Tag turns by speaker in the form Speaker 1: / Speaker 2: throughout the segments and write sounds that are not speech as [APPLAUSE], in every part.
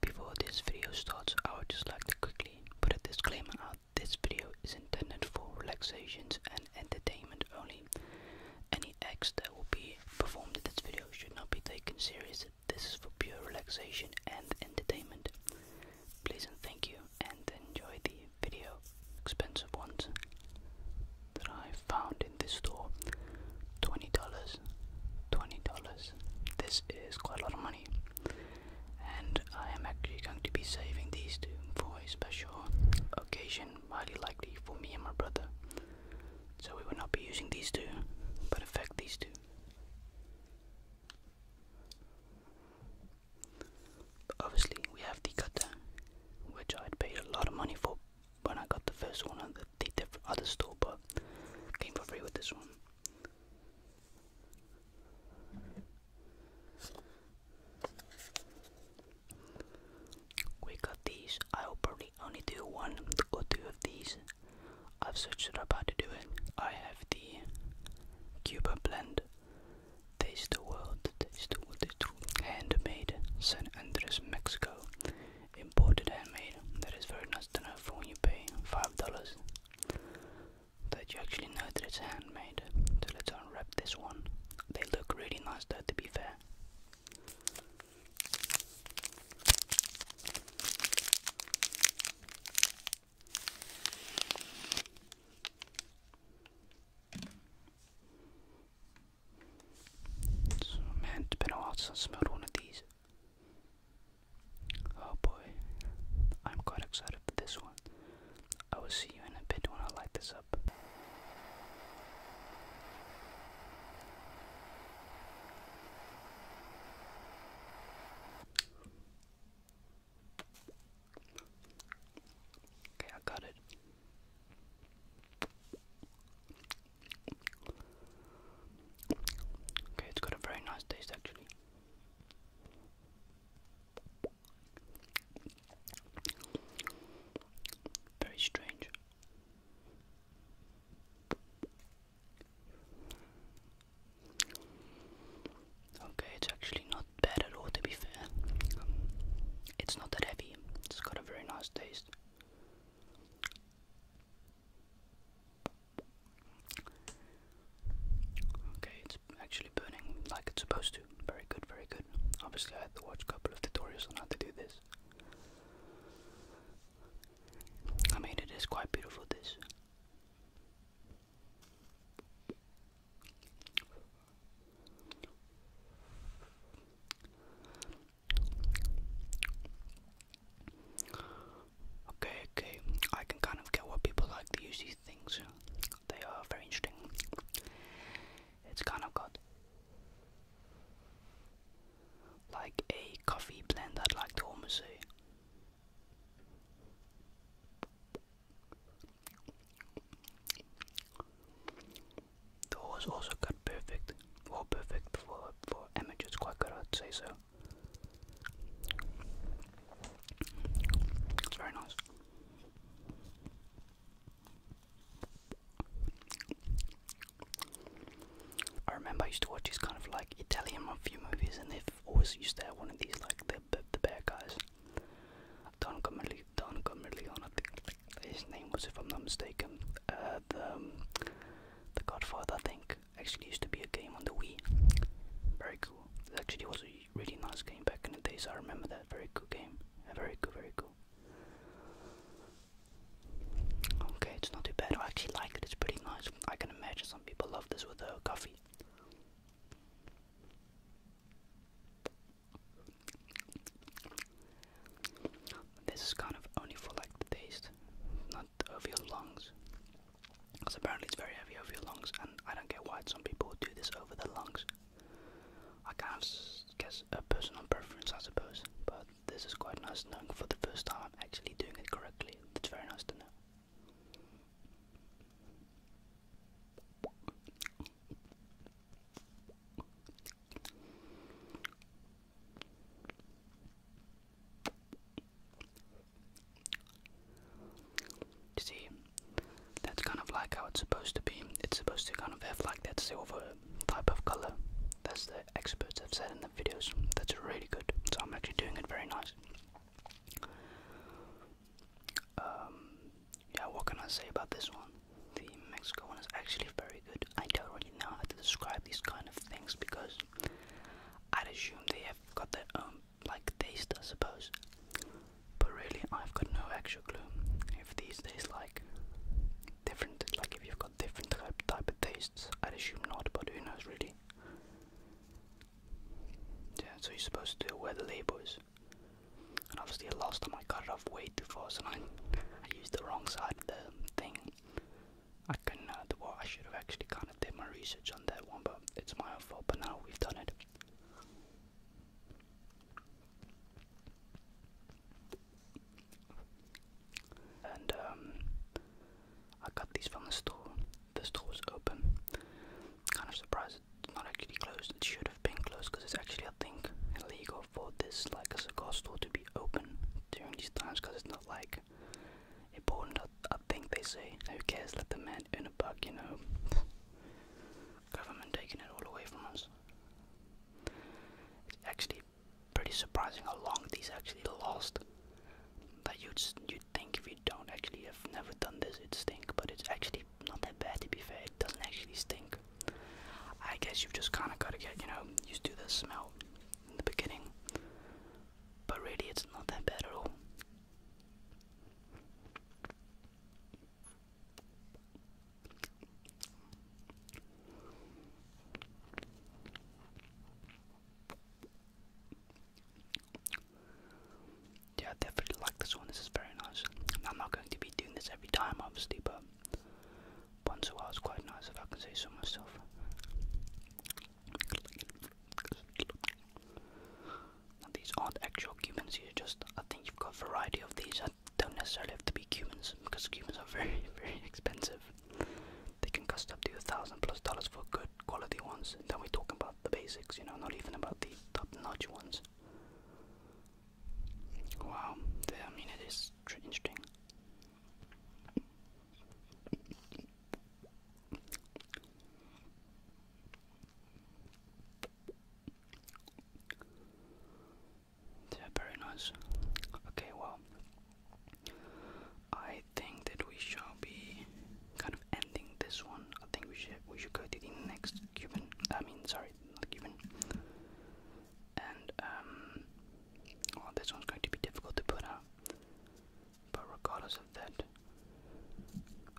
Speaker 1: Before this video starts, I would just like to quickly put a disclaimer out. This video is intended for relaxation and entertainment only. Any acts that will be performed in this video should not be taken seriously. This is for pure relaxation and entertainment. Please and thank you, and enjoy the video. Expensive ones that I found in this store $20, $20, this is quite a lot of money, and I am actually going to be saving these two for a special occasion, highly likely for me and my brother. So we will not be using these two, but affect these two. obviously, we have the cutter, which I'd paid a lot of money for when I got the first one they other store, but came for free with this one. We got these. I'll probably only do one or two of these. I've searched it up how to do it. I have the Cuba blend. Taste the world, taste the world, taste handmade San Andres, Mexico imported handmade. That is very nice to know for when you pay five dollars that you actually know that it's handmade. So let's unwrap this one. They look really nice though to be fair. man, it's been I smelled one of these. Oh boy, I'm quite excited for this one. I will see you in a bit when I light this up. Okay, I got it. Okay, it's got a very nice taste actually. Very strange. Okay, it's actually not bad at all to be fair. it's not that heavy, it's got a very nice taste. Okay, it's actually burning like it's supposed to. Very good, very good. Obviously, I had to watch a couple of tutorials on how to do this. I mean, it is quite beautiful, this. Okay, okay, I can kind of get why people like these things. They are very interesting. It's kind of got like a coffee blend, i like to almost also got perfect, well perfect for, for amateurs, quite good I'd say so. It's very nice. I remember I used to watch these kind of like Italian mafia movies, and they've always used to have one of these like the the, bad guys. Don Corleone, Don Corleone, I think his name was, if I'm not mistaken, uh, the um, the Godfather, I think actually used to be a game on the Wii. Very cool. It actually was a really nice game back in the days. I remember that. Very cool game. Very cool, very cool. Okay, it's not too bad. I actually like it. It's pretty nice. I can imagine some people love this with a coffee. This is kind of only for like the taste, over your lungs. Because apparently it's very heavy over your lungs, and I don't get why some people do this over their lungs. I guess a personal preference, I suppose, but this is quite nice knowing for the first time I'm actually doing it correctly. It's very nice to know see, that's kind of like how it's supposed to be. It's supposed to kind of have like that silver type of color. That's the experts have said in the videos. That's really good. So I'm actually doing it very nice. Um, yeah, what can I say about this one? The Mexico one is actually very I don't really know how to describe these kind of things because I'd assume they have got their own like taste, I suppose. But really, I've got no actual clue if these days like different. Like if you've got different type type of tastes, I'd assume not. But who knows, really? Yeah. So you're supposed to do where the label is. And obviously, last time I cut it off way too far, so I, I used the wrong side of the thing. I can, uh, well, I should have actually kind of did my research on that one, but it's my fault. But now we've done it. And um, I got these from the store. The store open. Kind of surprised it's not actually closed. It should have been closed because it's actually, I think, illegal for this like cigar store to be open during these times because it's not like important I think they say. Who cares? Let the man earn a buck, you know. Government taking it all away from us. It's actually pretty surprising how long these actually last. That you'd you think if you don't actually have never done this it stinks. but it's actually not that bad to be fair. It doesn't actually stink. I guess you've just kind of got to get you know used to the smell in the beginning, but really it's not that bad at all. Yeah, definitely like this one. This is very nice. I'm not going to be doing this every time, obviously, but once a while it's quite nice if I can say so myself. these aren't actual Cubans, You are just, I think you've got variety of these. I don't necessarily have to be Cubans because Cubans are [LAUGHS] very, very expensive. They can cost up to a thousand plus dollars for good quality ones. then we're talking about the basics, you know, not even about the top notch ones. Wow, yeah, I mean, it is interesting. Yeah, very nice. Okay, well, I think that we shall be kind of ending this one. I think we should we should go to the next Cuban. I mean, sorry, not Cuban. And um, Oh, this one's going to be difficult to put out. But regardless of that,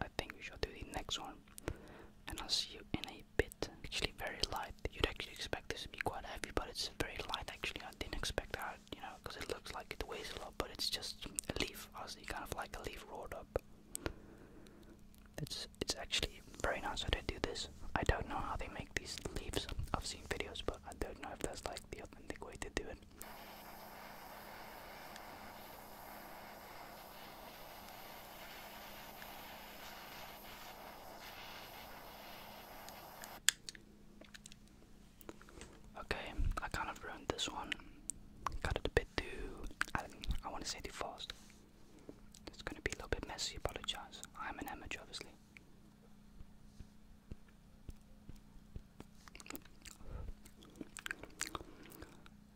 Speaker 1: I think we should do the next one. And I'll see you in a bit. Actually, very light. You'd actually expect this to be quite heavy, but it's very light actually. I didn't expect that, you know, because it looks like it weighs a lot, but it's just a leaf. Honestly, kind of like a leaf rolled up. It's it's actually very nice how they do this. I don't know how they make these leaves. I've seen videos, but I don't know if that's like the authentic way to do it. Okay, I kind of ruined this one. Cut it a bit too, I, I want to say too fast. It's going to be a little bit messy, apologize. I'm an amateur, obviously.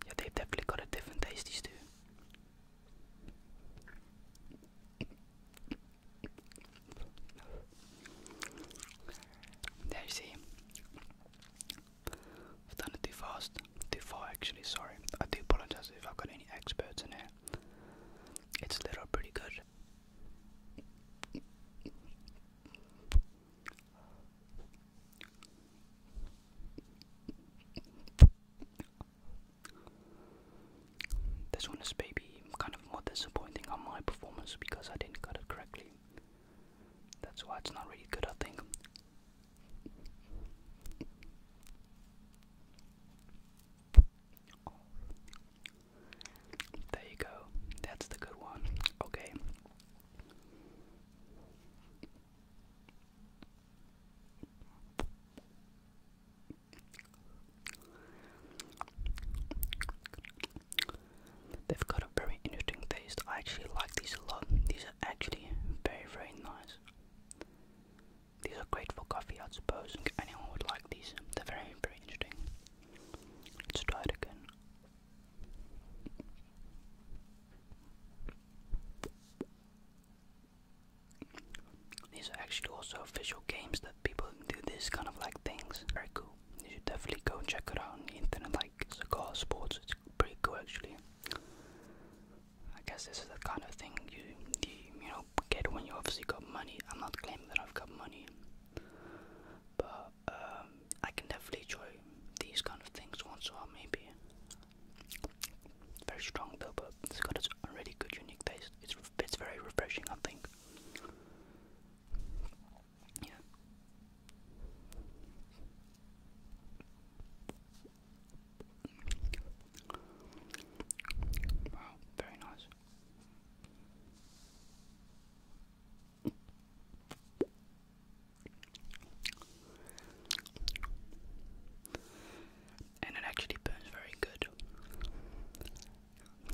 Speaker 1: Yeah, they've definitely got a different taste, these you? There you see. I've done it too fast, too far actually, sorry. I do apologize if I've got any experts in here. It's lit up pretty good. This one is maybe kind of more disappointing on my performance because I didn't cut it correctly. That's why it's not really good, I think. There you go. That's the good one. Okay. They've got a very interesting taste. I actually like these a lot. These are actually very, very nice. These are great for coffee, I suppose. Anyone would like these. They're very, very interesting. Let's try it again. These are actually also official games that people do this kind of like things. Very cool. You should definitely go check it out on the internet, like Cigar Sports. It's pretty cool actually. I guess this is the kind of thing you, you, you know, get when you obviously got money. I'm not claiming that I've got money. But um, I can definitely enjoy these kind of things once in a while, maybe. Very strong though, but it's got its really good, unique taste. It's it's very refreshing, I think. Yeah. Wow, very nice. And it actually burns very good.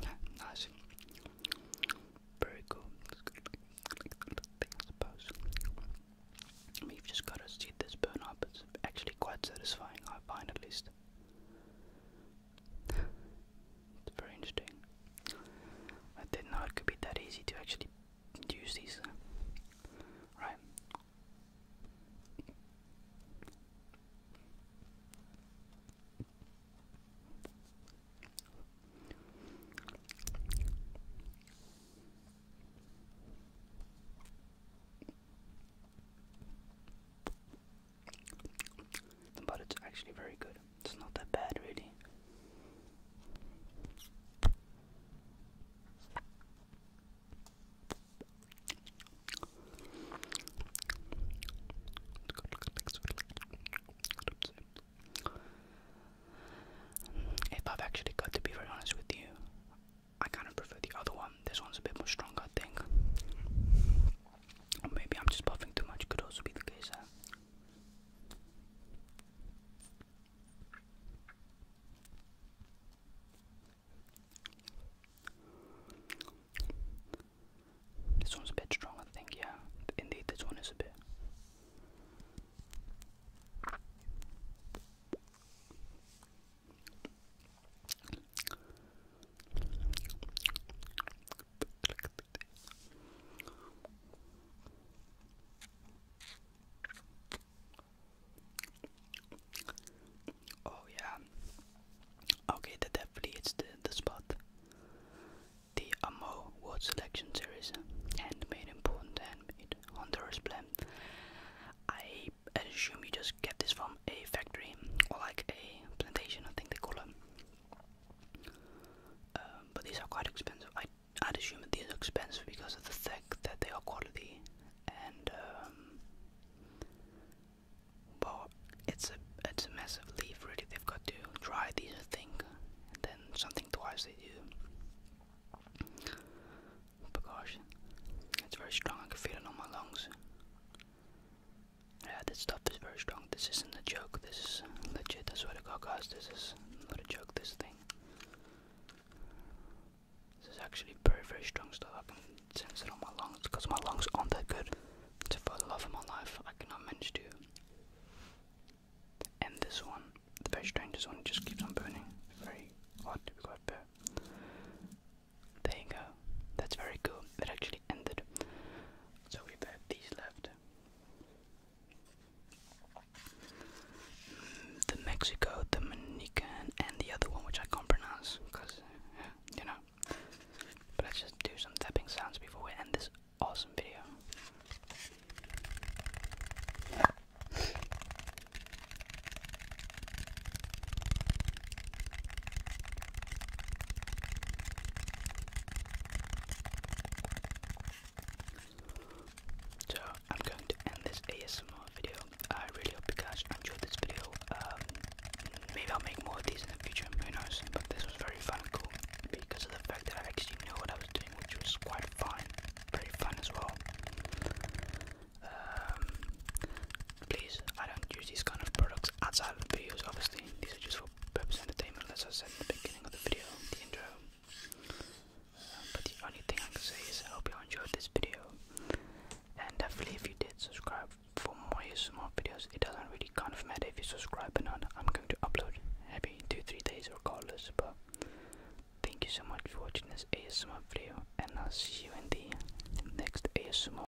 Speaker 1: [LAUGHS] nice. Very cool. I suppose. I have just got to see this burn up. It's actually quite satisfying, I find at least it's very interesting. I didn't know it could be that easy to actually use these. Uh, right. But it's actually very good. It's not that bad, really. If I've actually got to be very honest with you, I kind of prefer the other one. This one's a bit more stronger, I think. Or maybe I'm just puffing too much, could also be the case, This one's a bit strong, I think, yeah. Indeed, this one is a bit. Oh yeah. Okay, that definitely hits the, the spot. The Amo Wood Selection Series, handmade in Poland, handmade Honduras blend. I assume you just get this from um, a factory or like a plantation, I think they call them. Um, but these are quite expensive. I, I'd assume that these are expensive because of the fact that they are quality and um, well, it's a it's a massive leaf. Really, they've got to try these, I think, and then something twice they do. But gosh, it's very strong. I can feel it on my lungs. Yeah, this stuff is very strong. This isn't a joke. This is legit. That's what to God, this is not a joke. This thing. This is actually very, very strong stuff. I can sense it on my lungs because my lungs aren't that good. So for the love of my life, I cannot manage to And this one. The very strangest one just keeps on burning. Very hot. to be quite fair. There you go. That's very cool. It actually ended. So we've had these left. the Mexico, the Dominican, and the other one which I can't pronounce because, you know. But let's just do some tapping sounds before we end this awesome video. So I'm going to end this ASMR video. I really hope you guys enjoyed this video. Um, maybe I'll make more of these in the future, who knows. But this was very fun cool because of the fact that I actually knew what I was doing, which was quite fun. Very fun as well. Um, Please, I don't use these kind of products outside of videos, obviously. These are just for purpose entertainment, as I said at the beginning of the video, the intro. Um, but the only thing I can say is I hope you enjoyed this video. And definitely if you did, subscribe for more small videos. It doesn't really kind of matter if you subscribe or not. I'm going to upload every 2-3 days regardless, but thank you so much for watching this ASMR video and I'll see you in the next ASMR